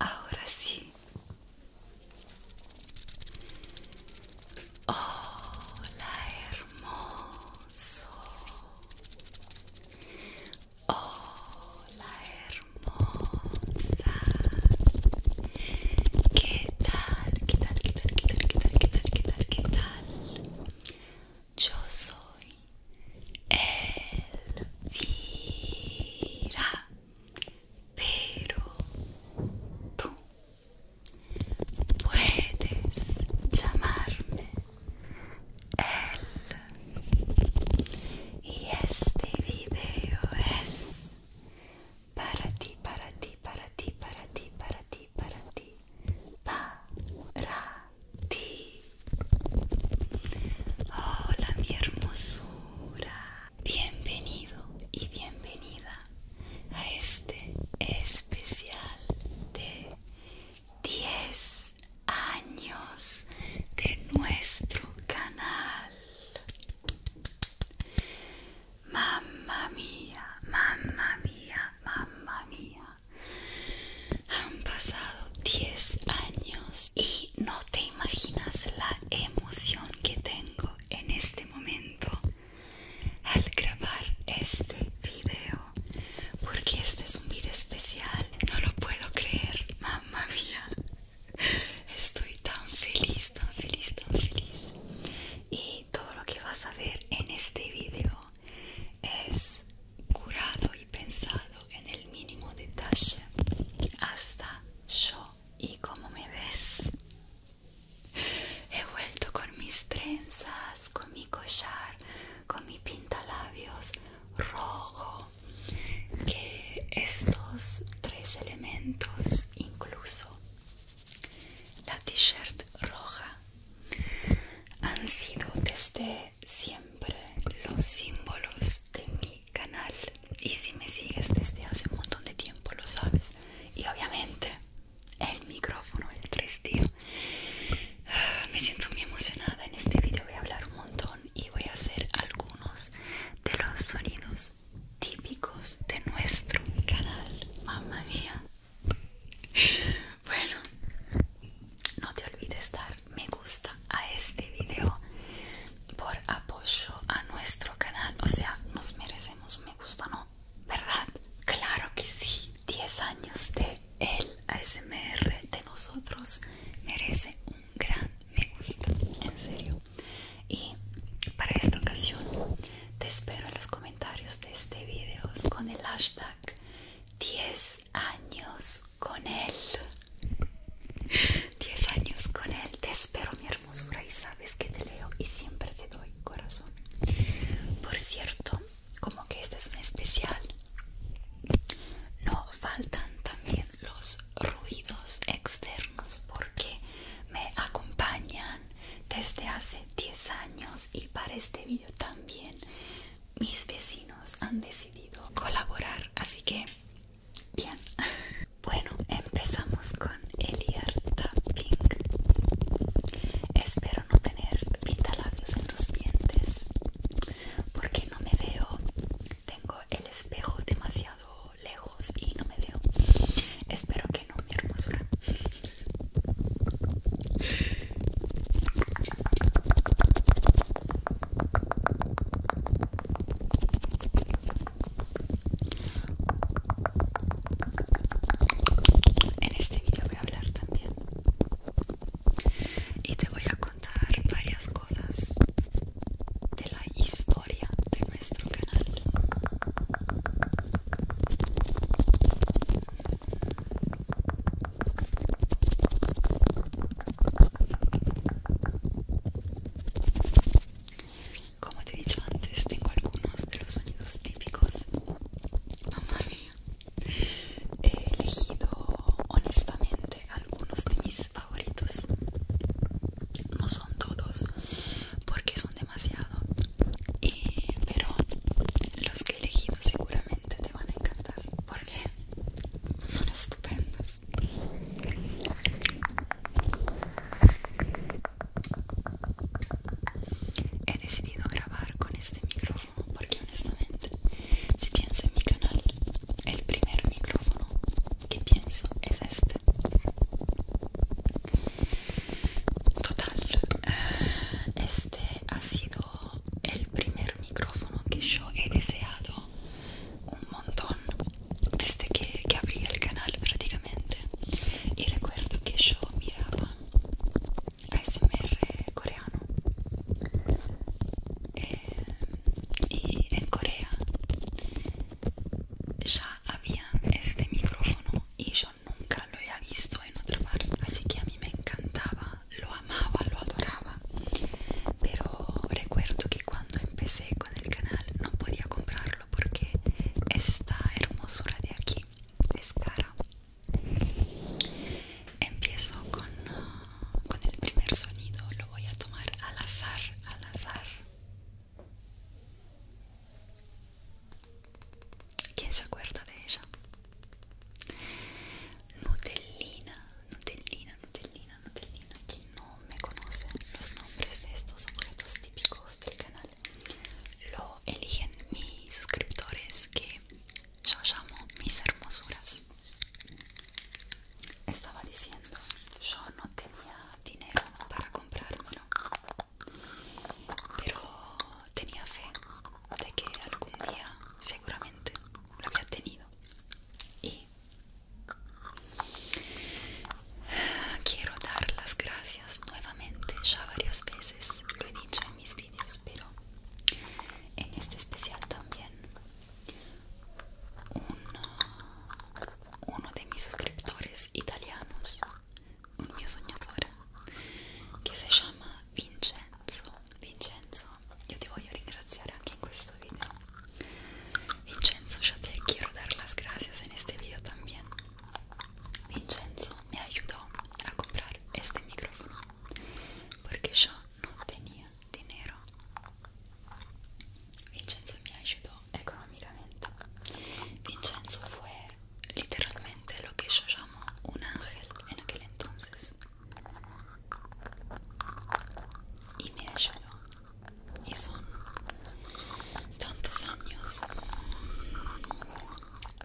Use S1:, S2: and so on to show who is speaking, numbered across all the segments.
S1: Ahora sí. Oh, la hermosa. Oh, la hermosa. ¿Qué tal? ¿Qué tal? ¿Qué tal? ¿Qué tal? ¿Qué tal? ¿Qué tal? ¿Qué tal? ¿Qué tal? Yo soy Elvira, pero Puedes llamarme él. Y este video es para ti, para ti, para ti, para ti, para ti, para ti, para ti. Hola mi hermosura. Bienvenido y bienvenida a este especial de 10 años de nuestro canal. Mamma mía, mamma mía, mamma mía. Han pasado 10 años y no te imaginas la emoción que tengo en este momento al grabar este video porque este es un video especial no lo puedo creer mamá mía estoy tan feliz tan feliz tan feliz y todo lo que vas a ver en este video es curado y pensado en el mínimo detalle hasta yo y como me ves He vuelto con mis trenzas, con mi collar, con mi pintalabios rojo. Que estos tres elementos, incluso la t-shirt roja, han sido desde siempre los símbolos de mi canal. Y si me sigues desde hace un montón de tiempo, lo sabes. Y obviamente el micrófono del 3D. Ah, me siento muy emocionada. En este video voy a hablar un montón y voy a hacer algunos de los sonidos típicos de nuestro canal. Mamma mía. Bueno, no te olvides dar me gusta a este video por apoyo a nuestro canal. O sea, nos merecemos un me gusta, ¿no? ¿verdad? Claro que sí, 10 años de el ASMR de nosotros merece un gran me gusta, en serio. Y para esta ocasión te espero en los comentarios de este video con el hashtag 10 años con él. 10 años con él, te espero mi hermosura y sabes que te leo y siempre te doy corazón. Por cierto, como que este es un especial no faltan también los ruidos externos porque me acompañan desde hace 10 años y para este vídeo también mis vecinos han decidido colaborar así que bien bueno empezamos con Eliar tapping espero no tener pintalabios en los dientes porque no me veo tengo el espejo demasiado lejos y no me veo espero que no mi hermosura en este vídeo voy a hablar también y te voy a contar varias cosas de la historia de nuestro canal. Como te he dicho antes, tengo algunos de los sonidos típicos. Mamá mía. He elegido honestamente algunos de mis favoritos. No son todos porque son demasiado, eh, pero los que he elegido seguramente te van a encantar porque son estupendos. He decidido grabar con este micrófono porque honestamente si pienso en mi canal el primer micrófono que pienso es este total eh, este ha sido el primer micrófono que yo he deseado un montón desde que, que abrí el canal prácticamente y recuerdo que yo miraba ASMR coreano eh, y en Corea ya había este micrófono y yo nunca lo había visto en otra parte así que a mí me encantaba lo amaba lo adoraba pero recuerdo que cuando empecé con el canal no podía comprarlo porque esta hermosura de aquí es cara Empiezo con, con el primer sonido, lo voy a tomar al azar, al azar. ¿Quién se acuerda de ella? Nutellina, Nutellina, Nutellina, Nutellina. Quien no me conoce los nombres de estos objetos típicos del canal, lo eligen mis suscriptores que yo llamo mis hermosuras. Estaba diciendo, yo no tenía dinero para comprármelo, pero tenía fe de que algún día seguramente lo había tenido. Y quiero dar las gracias nuevamente, ya varias veces lo he dicho en mis vídeos, pero en este especial también uno, uno de mis suscriptores italianos un mio soñador, que se llama Vincenzo Vincenzo io ti voglio ringraziare anche in video Vincenzo yo te quiero dar las gracias en este video también Vincenzo me ayudó a comprar este micrófono porque yo no tenía dinero. Vincenzo me ayudó económicamente. Vincenzo fue literalmente lo que yo llamo un ángel en aquel entonces. Y me ayudó. Y son tantos años.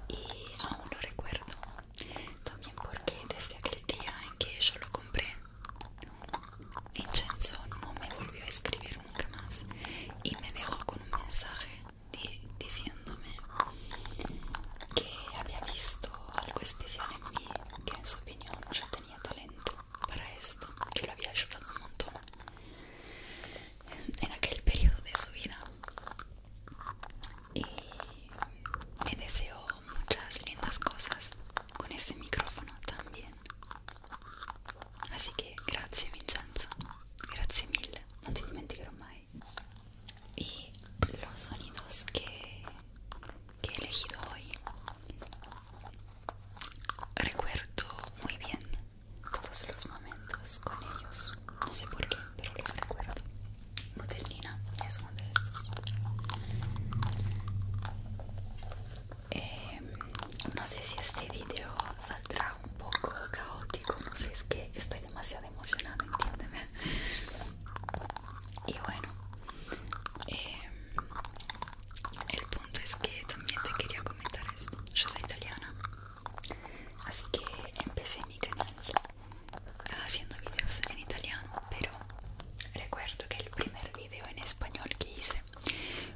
S1: Y aún lo recuerdo también porque desde aquel día en que yo lo compré Vincenzo no me volvió a escribir nunca más y me dejó con un mensaje diciéndome que había visto algo especial en mí que en su opinión yo tenía talento para esto que lo había ayudado un montón en, en aquel periodo de su vida y me deseo muchas lindas cosas con este micrófono también así que gracias Vincenzo grazie mille non te dimenticherò mai y los sonidos que he elegido hoy recuerdo muy bien todos los momentos con ellos no sé por qué, pero los recuerdo. botellina es uno de estos. Em, no sé si este video saldrá un poco caótico, no sé, es que estoy demasiado emocionada, entiéndeme. Y bueno, em, el punto es que también te quería comentar esto. Yo soy italiana, así que empecé mi canal haciendo videos en italiano, pero recuerdo que el primer video en español que hice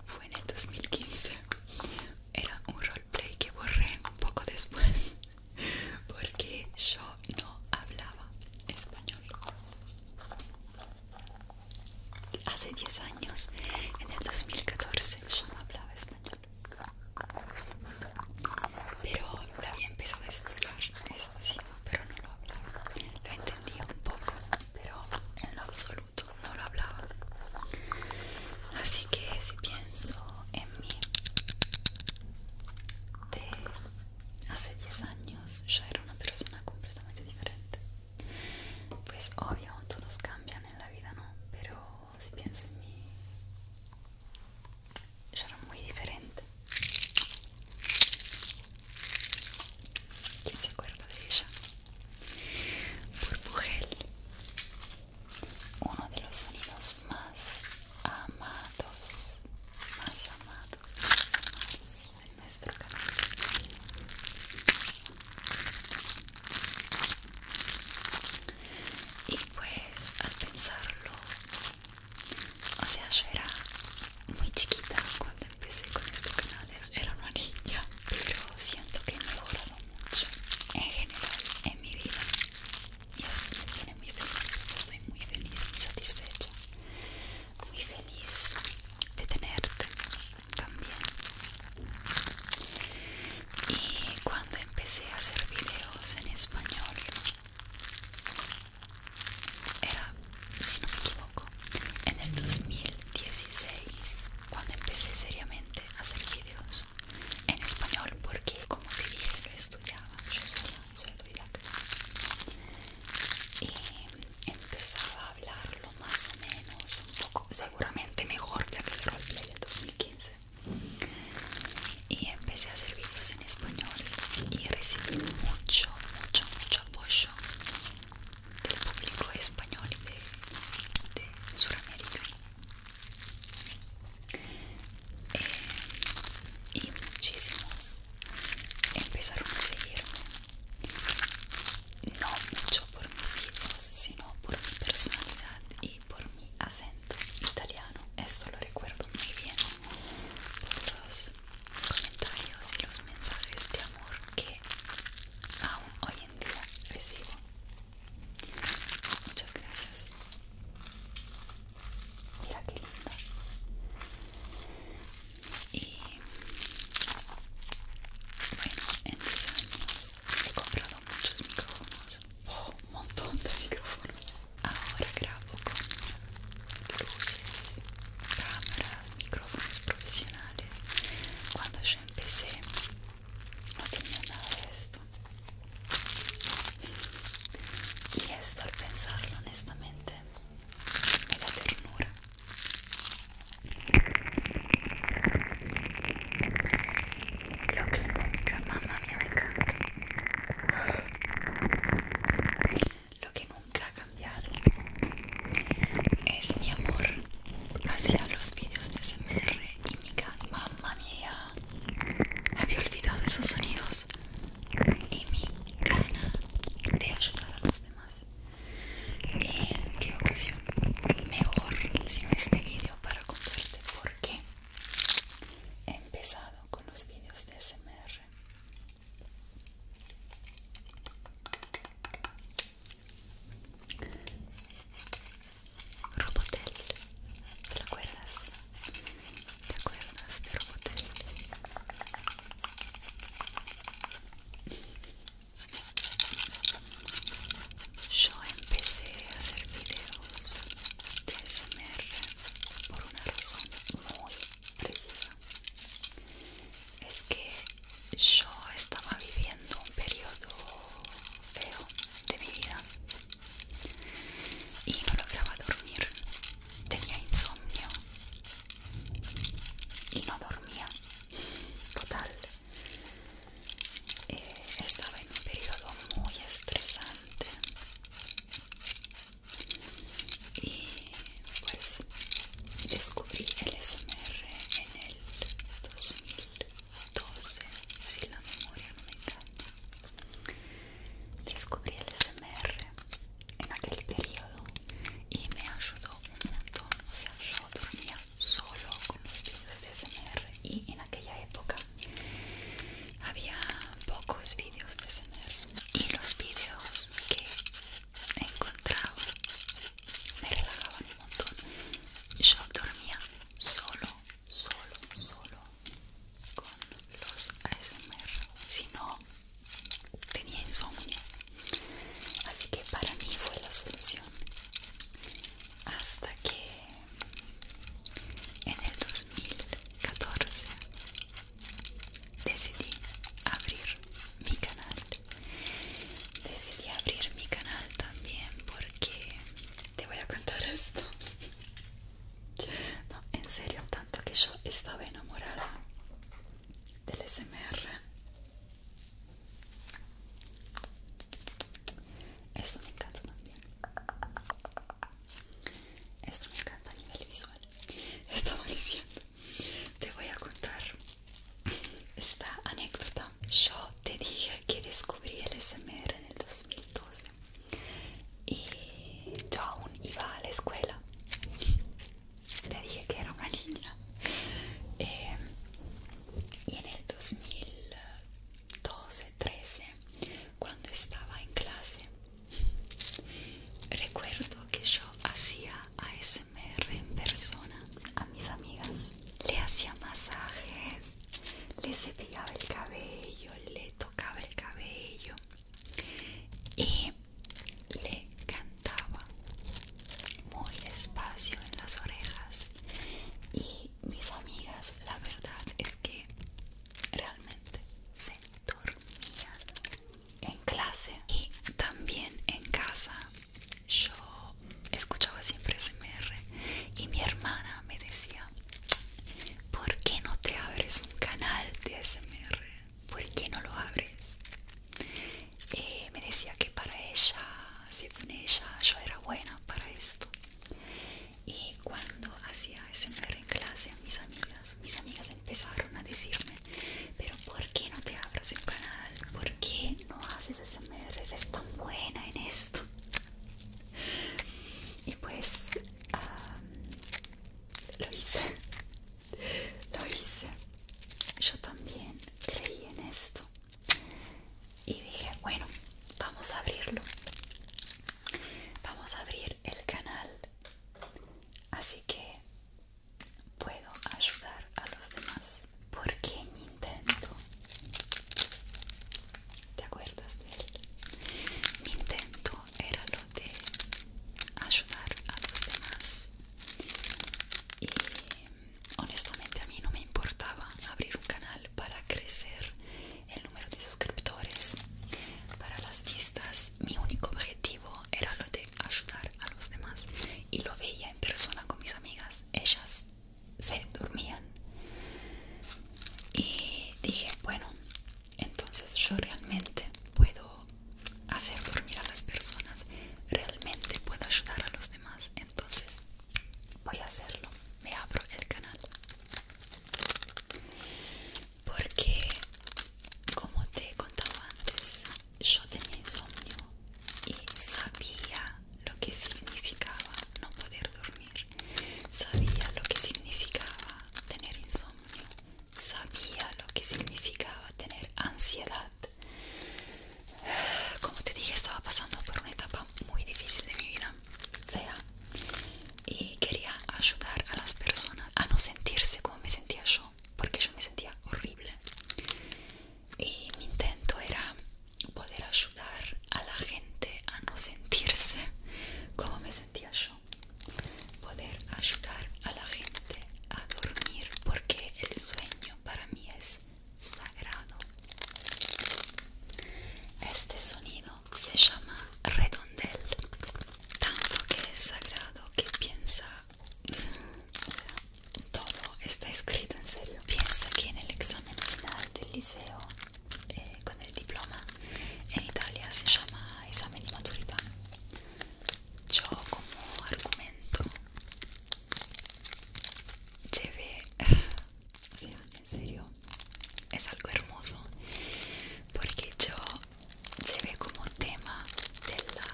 S1: fue en el 2015. Era un roleplay que borré un poco después porque yo no hablaba español. Hace 10 años, en el 2014, yo no hablaba español pero lo había empezado a explicar esto sí pero no lo hablaba lo entendía un poco pero en lo absoluto no lo hablaba así que si pienso en mí de hace 10 años ya era una persona completamente diferente pues obvio todos cambian en la vida no pero si pienso en mí será era muy diferente. ¿Quién se acuerda de ella? Burbujel, uno de los sonidos más amados, más amados, más amados en nuestro canal. Y pues al pensarlo o sea, yo era muy chiquita cuando empecé con este canal, era, una niña, pero siento que he mejorado mucho en general en mi vida y esto me viene muy feliz, estoy muy feliz, muy satisfecha, muy feliz de tenerte también. Y cuando empecé a hacer videos en español, era, si no me equivoco, en el 2016 cuando empecé seriamente a hacer videos en español porque, como te dije, lo estudiaba yo sola, soy autodidacta y empezaba a hablarlo más o menos un poco, seguramente mejor ya que aquel roleplay del 2015 y empecé a hacer vídeos en español y recibí mucho, mucho, mucho apoyo del público español y de, eh, y muchísimos empezaron a seguirme, no mucho por mis vídeos, sino por mi personalidad y por mi acento italiano, esto lo recuerdo muy bien por los comentarios y los mensajes de amor que aún hoy en día recibo. Muchas gracias. Mira qué lindo. Y bueno, en 10 años he comprado muchos micrófonos. Oh, un montón de micrófonos. Ahora grabo con luces, cámaras, micrófonos profesionales. Cuando yo empecé no tenía nada de esto. Y esto al pensarlo honestamente me da ternura. Creo que mamá me encanta. Lo que nunca ha cambiado es mi amor hacia los vídeos de SMR y mi canal. Mamma mía, había olvidado esos sonidos y mi gana de ayudar a los demás. Y qué ocasión mejor no este vídeo para contarte por qué he empezado con los vídeos de SMR Robotel, ¿te acuerdas? ¿Te acuerdas de Robotel? Yo empecé a hacer videos de SMR por una razón muy precisa es que yo estaba viviendo un periodo feo de mi vida y no lograba dormir tenía insomnio y no dormía total eh, estaba en un periodo muy estresante y pues descubrí el SMR en el 2012 si la memoria no me engaña descubrí el SMR en aquel periodo y me ayudó un montón o sea yo dormía solo con los vídeos de SMR y en aquella época había pocos vídeos y los vídeos que encontraba me relajaban un montón yo dormía solo solo solo con los ASMR si no tenía insomnio así que para mí fue la solución hasta que en el 2014 decidí abrir mi canal decidí abrir mi canal también porque te voy a contar esto no en serio tanto que yo estaba enamorada del smr esto me encanta también esto me encanta a nivel visual. Estaba diciendo, te voy a contar esta anécdota. Yo te dije que descubrí el SMR en el 2012 y yo aún iba a la escuela. Te dije que era una niña. Em, y en el 2012-13 cuando estaba en clase. Recuerdo que yo hacía ASMR en persona a mis amigas. Le hacía masajes, le cepillaba el cabello, le tocaba el cabello y le cantaba muy despacio en las orejas. Y mis amigas, la verdad es que realmente se dormían en clase y también en casa yo escuchaba siempre SMR y mi hermana me decía ¿por qué no te abres un canal de SMR? ¿por qué no lo abres? Eh, me decía que para ella, según ella, yo era buena para esto y cuando hacía SMR en clase mis amigas, mis amigas empezaron a decirme, pero ¿por qué no te abras el canal? ¿Por qué no haces que es tan buena en esto. Y pues lo hice, lo hice. Yo también creí en esto. Y dije, bueno, vamos a abrirlo. Vamos a abrir el canal así que puedo ayudar a los demás porque mi intento te acuerdas de él mi intento era lo de ayudar a los demás y honestamente a mí no me importaba abrir un canal para crecer el número de suscriptores para las vistas mi único objetivo era lo de ayudar a los demás y lo veía en persona con mis amigas. Ellas se dormían y dije, bueno, entonces yo realmente puedo hacer dormir a las personas, realmente puedo ayudar a los demás, entonces voy a hacerlo. Me abro el canal porque como te he contado antes yo tenía insomnio y sabía lo que significaba no poder dormir sabía lo que significaba tener insomnio sabía lo que significaba tener ansiedad como te dije estaba pasando por una etapa muy difícil de mi vida Fea y quería ayudar a las personas a no sentirse me sentía yo, porque yo me sentía horrible. Y mi intento era poder ayudar a la gente a no sentirse como me sentía yo. Poder ayudar a la gente a dormir porque el sueño para mí es sagrado. Este sonido se llama redondel tanto que es sagrado que piensa, mm, todo está escrito en serio. Piensa que en el examen final del liceo, eh, con el diploma, en Italia se llama examen de maturidad. Yo como argumento llevé, o en serio, es algo hermoso porque yo se como tema de la,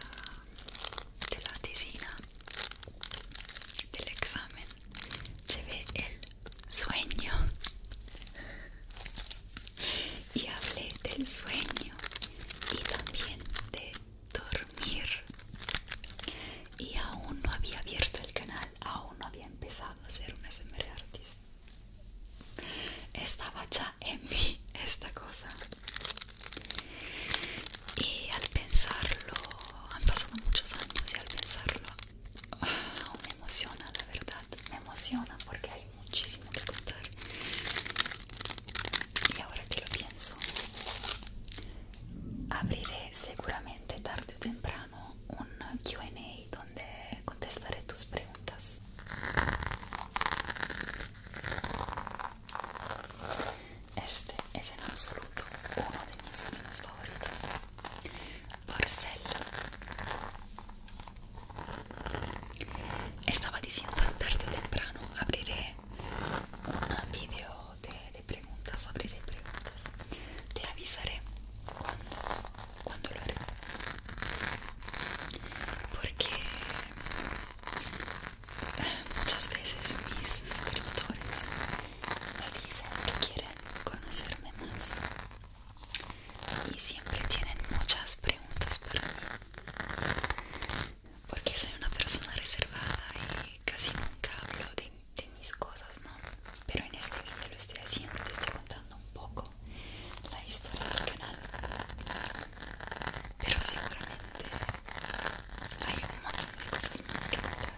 S1: de la tesina del examen se el sueño y hablé del sueño y también de dormir y aún no había abierto el canal aún no había empezado a hacer una SMR artista estaba ya en mí esta cosa y al pensarlo han pasado muchos años y al pensarlo me emociona la verdad me emociona porque hay muchísimo que contar y ahora que lo pienso abriré seguramente tarde o temprano un Q&A donde contestaré tus preguntas este es en absoluto uno de mis sonidos favoritos. Porcelo. Estaba diciendo tarde o temprano abriré un video de, preguntas, abriré preguntas. Te avisaré cuando, cuando lo haré porque ah, muchas veces mis suscriptores me dicen que quieren conocerme más y siempre tienen muchas preguntas para mí porque soy una persona reservada y casi nunca hablo de, mis cosas, ¿no? Pero en este video lo estoy haciendo, te estoy contando un poco la historia del canal pero seguramente hay un montón de cosas más que contar.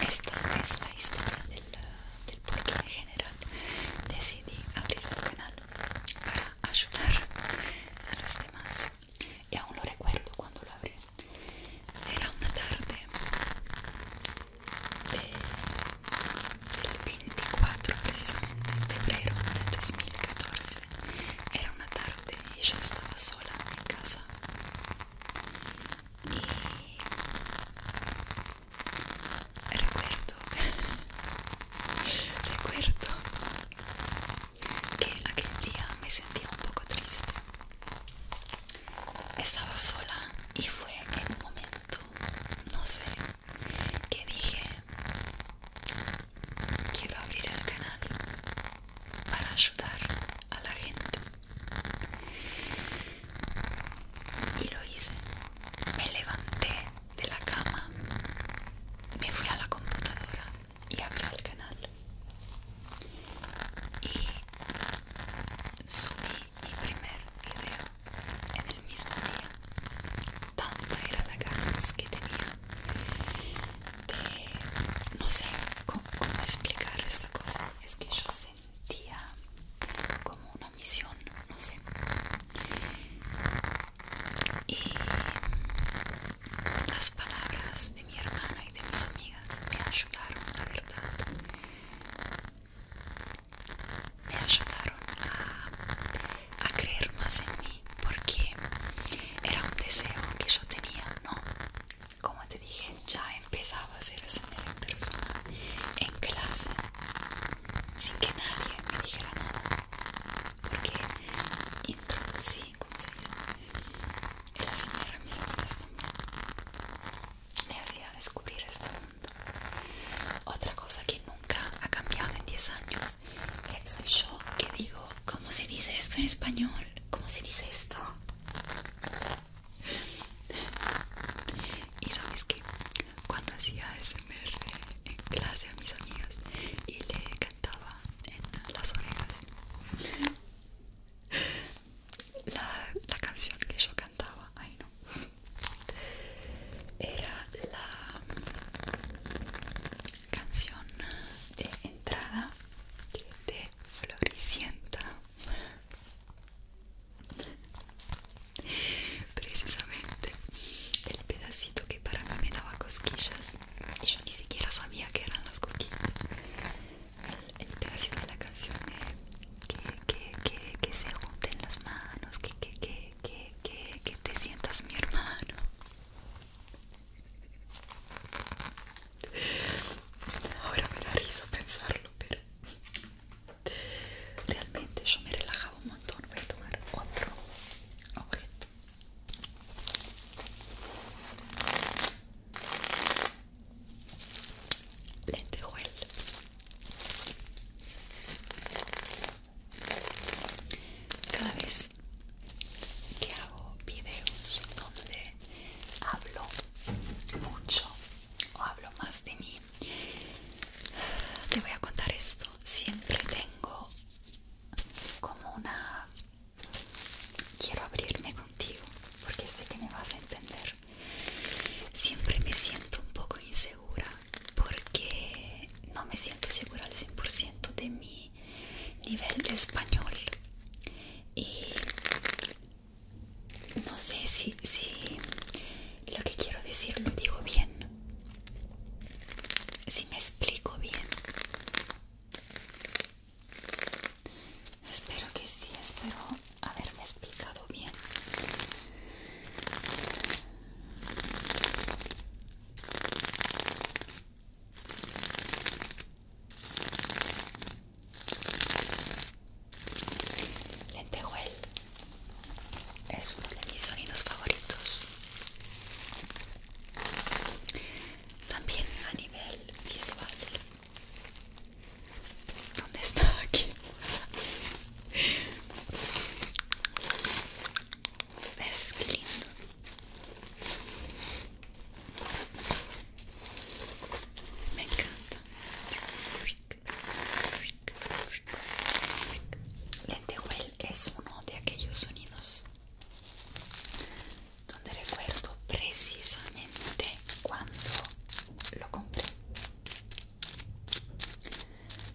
S1: Y esta es la historia del, porqué en general decidí abrir el canal a ayudar a los demás y aún lo recuerdo cuando lo abrí era una tarde de, del 24 precisamente en febrero del 2014 era una tarde y yo estaba sola en mi casa y recuerdo recuerdo que aquel día me sentía un poco triste. Estaba sola y fue en un momento, no sé, que dije, quiero abrir el canal para ayudar a la gente. Y lo hice. Me levanté de la cama me fui a la computadora y abrí el canal y subí mi primer video en el mismo día tanta era la ganas que tenía de no sé cómo explicar esta cosa es que yo sentía como una misión no sé y las palabras de mi hermana y de mis amigas me ayudaron, la verdad. Me ayudaron a, creer más en mí porque era un deseo que yo tenía, ¿no? Como te dije, ya empezaba a ser esa en persona, en clase, sin que nadie me dijera nada porque introducí, ¿cómo se dice? el a mis amigas también me hacía descubrir este mundo otra cosa que nunca ha cambiado en 10 años soy yo que digo ¿cómo se dice esto en español? ¿cómo se dice esto? y sabes que cuando hacía ASMR en clase a mis amigas y le cantaba en las orejas la, canción que yo cantaba, ay no, era la canción de entrada de Floricienta. Precisamente el pedacito que para mí me daba cosquillas y yo ni siquiera sabía que eran las cosquillas el, el de la canción es eh, que, se junten las manos que, que, que, que, que, que te sientas mi hermano ahora me da risa pensarlo pero realmente yo me relajaba un montón voy a tomar otro objeto lentejuel cada vez que hago videos donde hablo mucho o hablo más de mí te voy a contar esto siempre tengo como una quiero abrirme contigo porque sé que me vas a entender siempre me siento un poco insegura porque no me siento segura al 100% de mi nivel de español y no sé si, si lo que quiero decir lo digo bien si me explico bien espero que sí espero haberme explicado bien Lentejuel es uno de mis sonidos favoritos también a nivel visual ¿Dónde está aquí? ¿Ves qué lindo? Me encanta. Lentejuel es uno de aquellos sonidos donde recuerdo precisamente cuando lo compré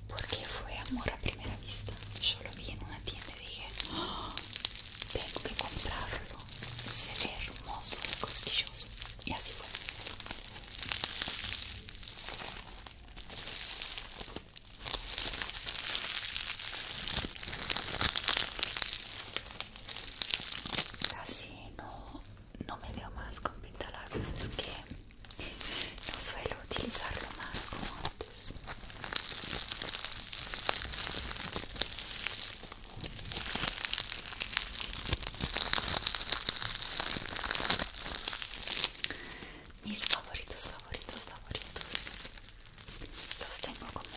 S1: porque fue amor a primera vista yo lo vi en una tienda y dije ¡Oh! tengo que comprarlo se hermoso y cosquilloso y así fue Casi no, me veo más con pintalabios, es que no suelo utilizarlo más como antes. Mis favoritos, favoritos, favoritos los tengo como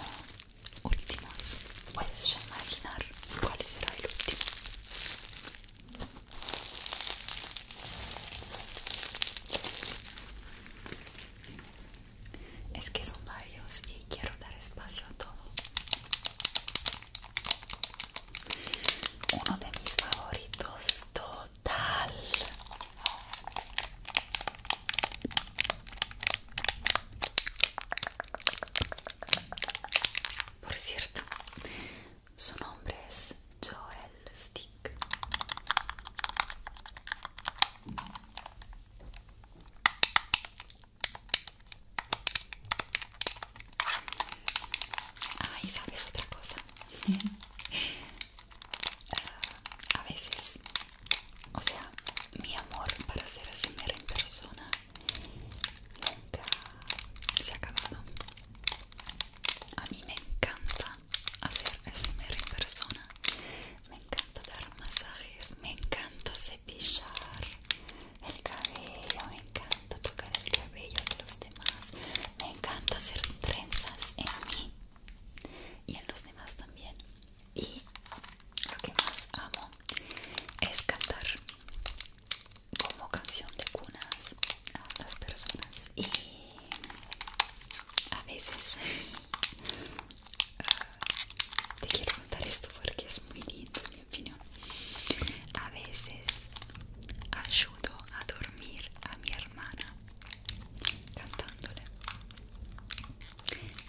S1: últimos. Puedes ya imaginar cuál será el último. Es que son varios y quiero dar espacio a todo. Uno de mis favoritos, todos por cierto, su nombre es Joel Stick. Ay, ¿sabes otra cosa? a veces, o sea, mi amor para hacer Asimera en persona nunca se ha acabado. A mí me encanta hacer Asimera en persona, me encanta dar masajes, me encanta cepillar el cabello, me encanta tocar el cabello de los demás, me encanta hacer trenzas en mí y en los demás también y lo que más amo es cantar como canción de cunas a las personas y a veces ah, te quiero contar esto porque es muy lindo en mi opinión a veces ayudo a dormir a mi hermana cantándole.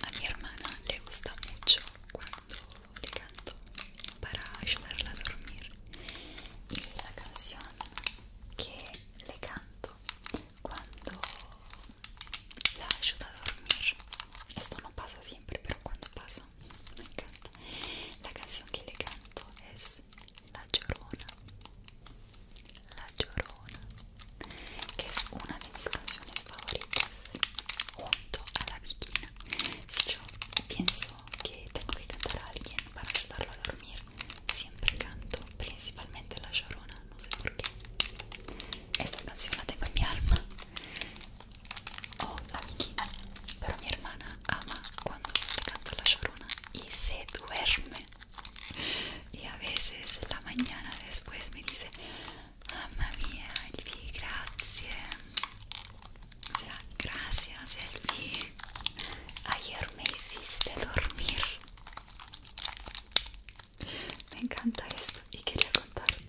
S1: A mi hermana le gusta mucho cuando le canto para ayudarla a dormir. Y la canción que le canto cuando la ayuda a dormir, esto no pasa siempre, pero cuando pasa, me encanta. La canción que le canto es La Llorona. La Giorona, che es una de mis canciones favoritas junto a La Viquina. Si yo pienso que tengo que cantar a alguien para ayudarlo a dormir, siempre canto principalmente La Llorona, no sé por qué. Esta canción la tengo en mi alma. O oh, La Viquina, pero mi hermana ama cuando le canto La Llorona y se duerme. y a veces la mañana después me dice mamma mia Elvi grazie o sea gracias Elvi ayer me hiciste dormir me encanta esto y quería contártelo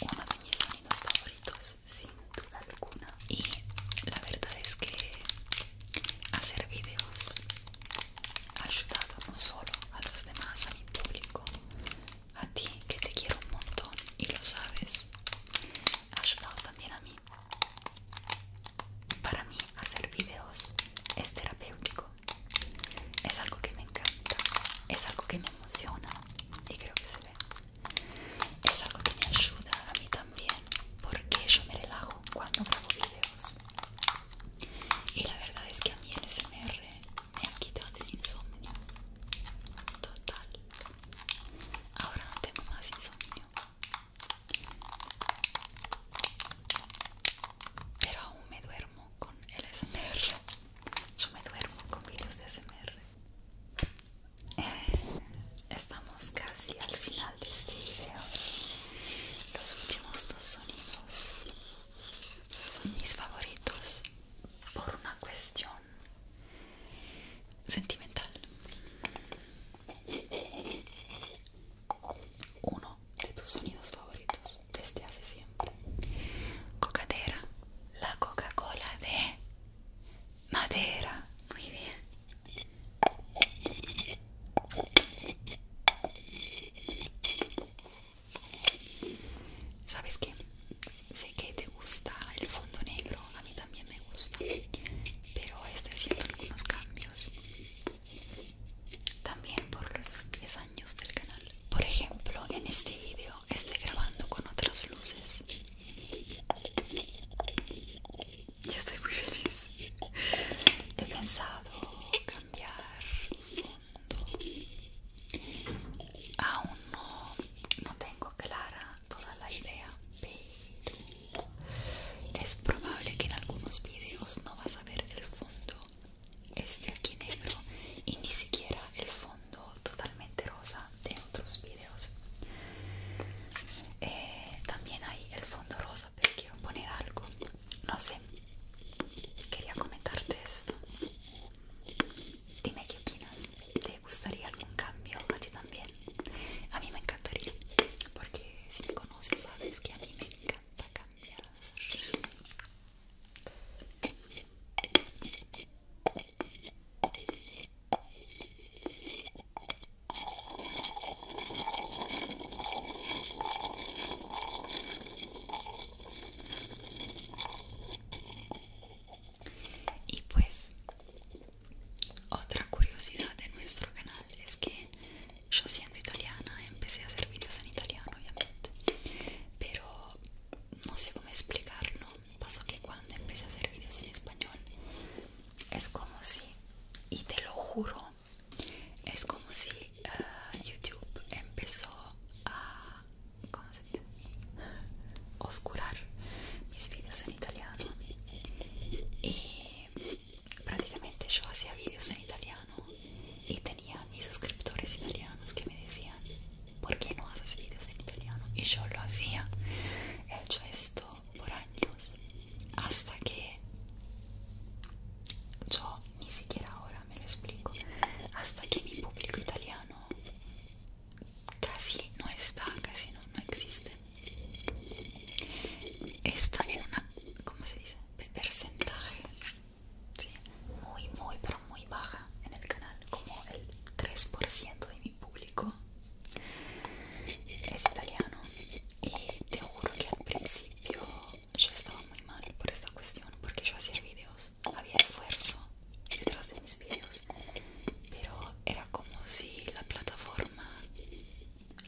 S1: uno de mis sonidos favoritos sin duda alguna y la verdad es que hacer videos ha ayudado no solo a los demás, a mi público, a ti que te quiero un montón y lo sabes, ha ayudado también a mí. Para mí hacer videos es terapéutico. Es algo que me encanta, es algo que me emociona y creo que se ve. Es algo que me ayuda a mí también porque yo me relajo cuando grabo videos. Y la verdad es que a mí el SMR me ha quitado el insomnio. Total. Ahora no tengo más insomnio. Pero aún me duermo con el SMR. Yo me duermo con vídeos de ASMR. Eh, estamos casi al final de este video. Los últimos dos sonidos son mis favoritos por una cuestión sentimental. Uno de tus sonidos favoritos desde hace siempre. Cocadera, la Coca-Cola de madera. Muy bien. ¿Sabes qué? Sé que te gusta el fondo negro, a mí también me gusta, pero estoy haciendo algunos cambios. También por los 10 del canal por ejemplo en este video estoy grabando con otras luces yo estoy muy feliz he pensado cambiar fondo aún no, tengo clara toda la idea pero es probable que en algunos videos no vas a ver el fondo este aquí negro y ni siquiera el fondo totalmente rosa de otros vídeos eh, también hay el fondo rosa pero quiero poner algo no sé quería comentarte esto dime qué opinas te gustaría algún cambio a ti también a mí me encantaría porque si me conoces sabes que a mí me encanta cambiar y pues otra curiosidad de nuestro canal es que yo siendo italiana empecé a hacer videos en italiano obviamente, pero no sé cómo explicarlo. Pasó que cuando empecé a hacer videos en español, es como si, y te lo juro, es como si ah, YouTube empezó a, ¿cómo Oscurar mis videos en italiano. Y prácticamente yo hacía videos en italiano y tenía mis suscriptores italianos que me decían ¿por qué no haces vídeos en italiano? Y yo lo hacía. He hecho esto por años hasta que yo ni siquiera ahora me lo explico. Hasta que mi público italiano casi no está, casi no, no existe. Está en una, ¿cómo se dice? Percentaje ¿sí? muy, muy, pero muy baja en el canal, como el 3% de mi público es italiano. Y te juro que al principio yo estaba muy mal por esta cuestión, porque yo hacía videos, había esfuerzo detrás de mis videos, pero era como si la plataforma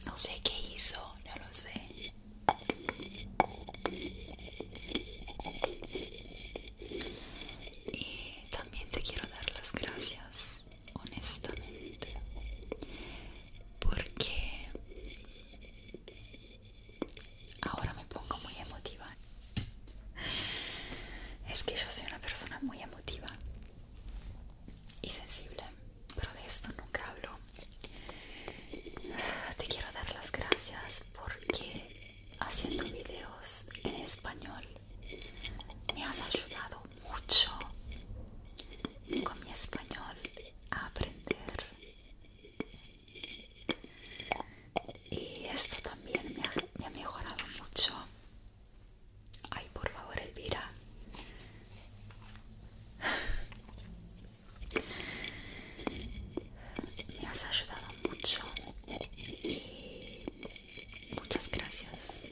S1: no sé qué hizo, no lo sé. Y también te quiero dar las gracias, honestamente, porque ahora me pongo muy emotiva. Es que yo soy una persona muy emotiva y sensible, pero de esto nunca hablo. Te quiero dar las gracias porque haciendo videos en español me has ayudado mucho con mi español a aprender y esto también me ha, mejorado mucho ay por favor Elvira me has ayudado mucho y muchas gracias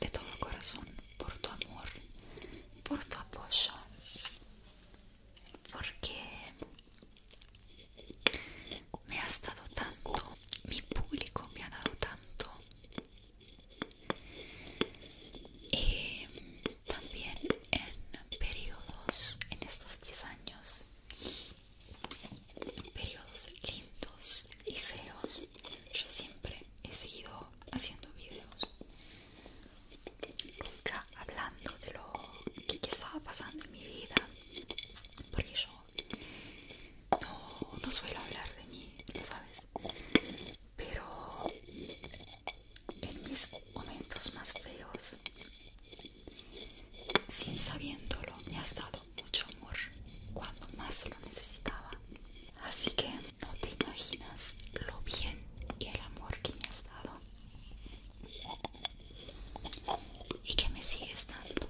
S1: de todo corazón por tu amor, por tu apoyo, porque me has dado tanto, mi público me ha dado tanto y también en periodos en estos 10 años periodos lindos y feos yo siempre he seguido haciendo videos nunca hablando de lo que estaba pasando en mi vida porque yo no, no suelo hablar de mí, ¿sabes? Pero en mis momentos más feos sin sabiéndolo me has dado mucho amor cuando más lo necesitaba así que no te imaginas lo bien y el amor que me has dado y que me sigues dando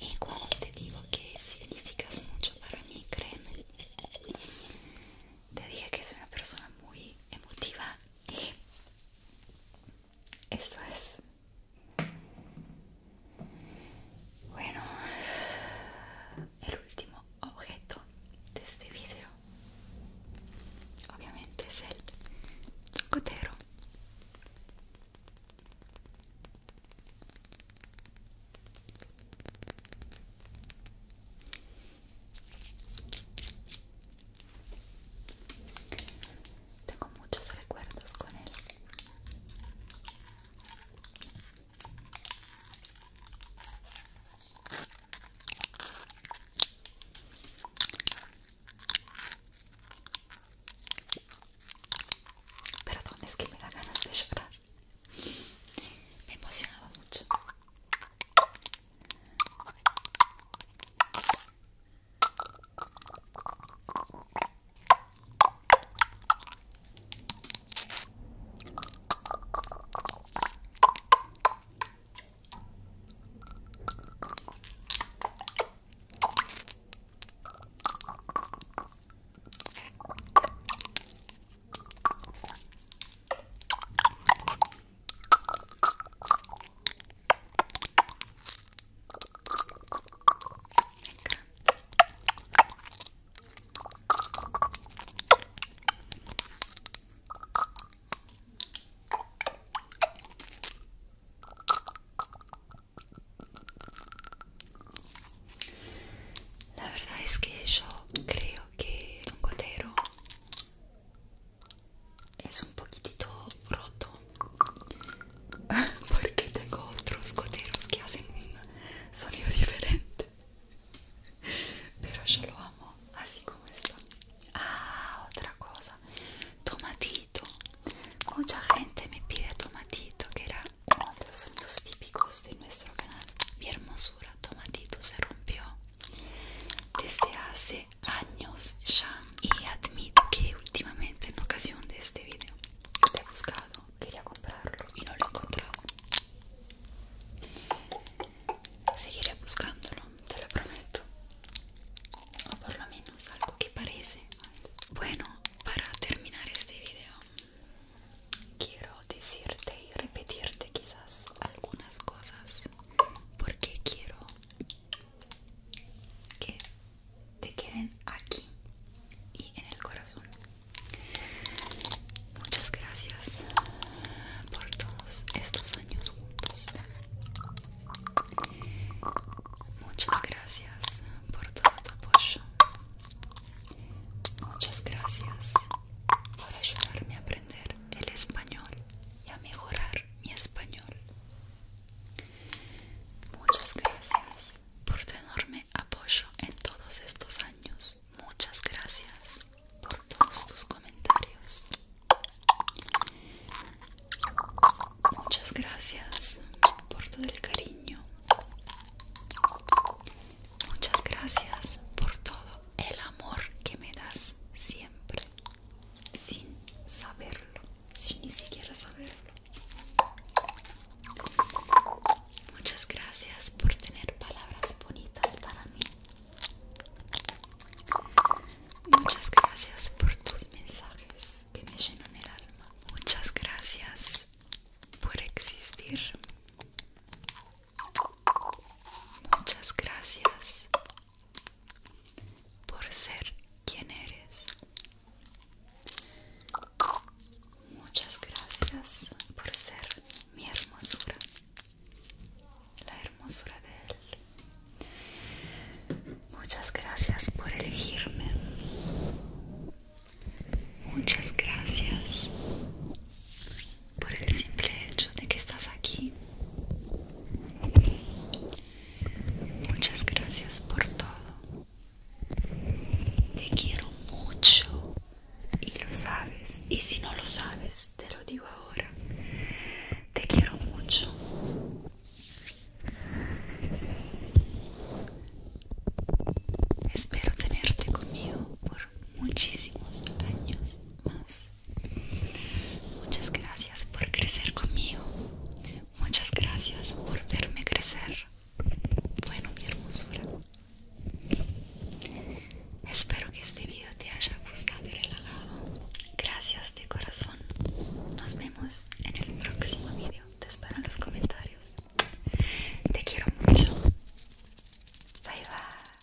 S1: y cuando te digo que significas mucho para mí créeme te dije que soy una persona muy emotiva y esto es bueno el último objeto de este vídeo obviamente es el cotero tengo muchos recuerdos con él. pero ¿dónde es que me da ganas de llorar me emocionaba mucho a verdade é que eu creio que un gotero es un poquitito roto porque tengo otros goteros que hacen un sonido diferente pero yo lo amo así como está ah otra cosa tomatito mucha gente me pide tomatito que era uno de los sonidos típicos de nuestro canal mi hermosura tomatito se rompió desde hace años ya y admito que últimamente en ocasión de este video he buscado, quería comprarlo y no lo he encontrado seguiré buscándolo, te lo prometo o por lo menos algo que parece bueno, para terminar este video quiero decirte y repetirte quizás algunas cosas porque quiero que te queden aquí y en el corazón. Muchas gracias por todos estos años juntos. Muchas gracias por todo tu apoyo. Muchas gracias por ayudarme a aprender el español y a mejorar mi español. Muchas gracias por tu enorme apoyo en todos estos años. Muchas gracias por todos tus comentarios. Muchas gracias por todo el cariño Muchas gracias por todo el amor que me das siempre, sin saberlo, sin ni siquiera saberlo. Muchas gracias por tener palabras bonitas para mí. Muchas gracias por tus mensajes que me llenan el alma. Muchas gracias por existir. Muchas gracias por ser quien eres. Muchas gracias por ser mi hermosura. La hermosura de él. Muchas gracias por elegirme. Muchas gracias por el simple hecho de que estás aquí. Muchas gracias por todo. Te quiero mucho y lo sabes. Y si no lo sabes, te lo digo ahora. Te quiero mucho. Espero tenerte conmigo por muchísimos años más. Muchas gracias por crecer conmigo. Muchas gracias por verme crecer. Bueno, mi hermosura. Espero que este video te haya gustado y relajado. Gracias de corazón. Nos vemos en el próximo video. Te espero en los comentarios. Te quiero mucho. Bye bye.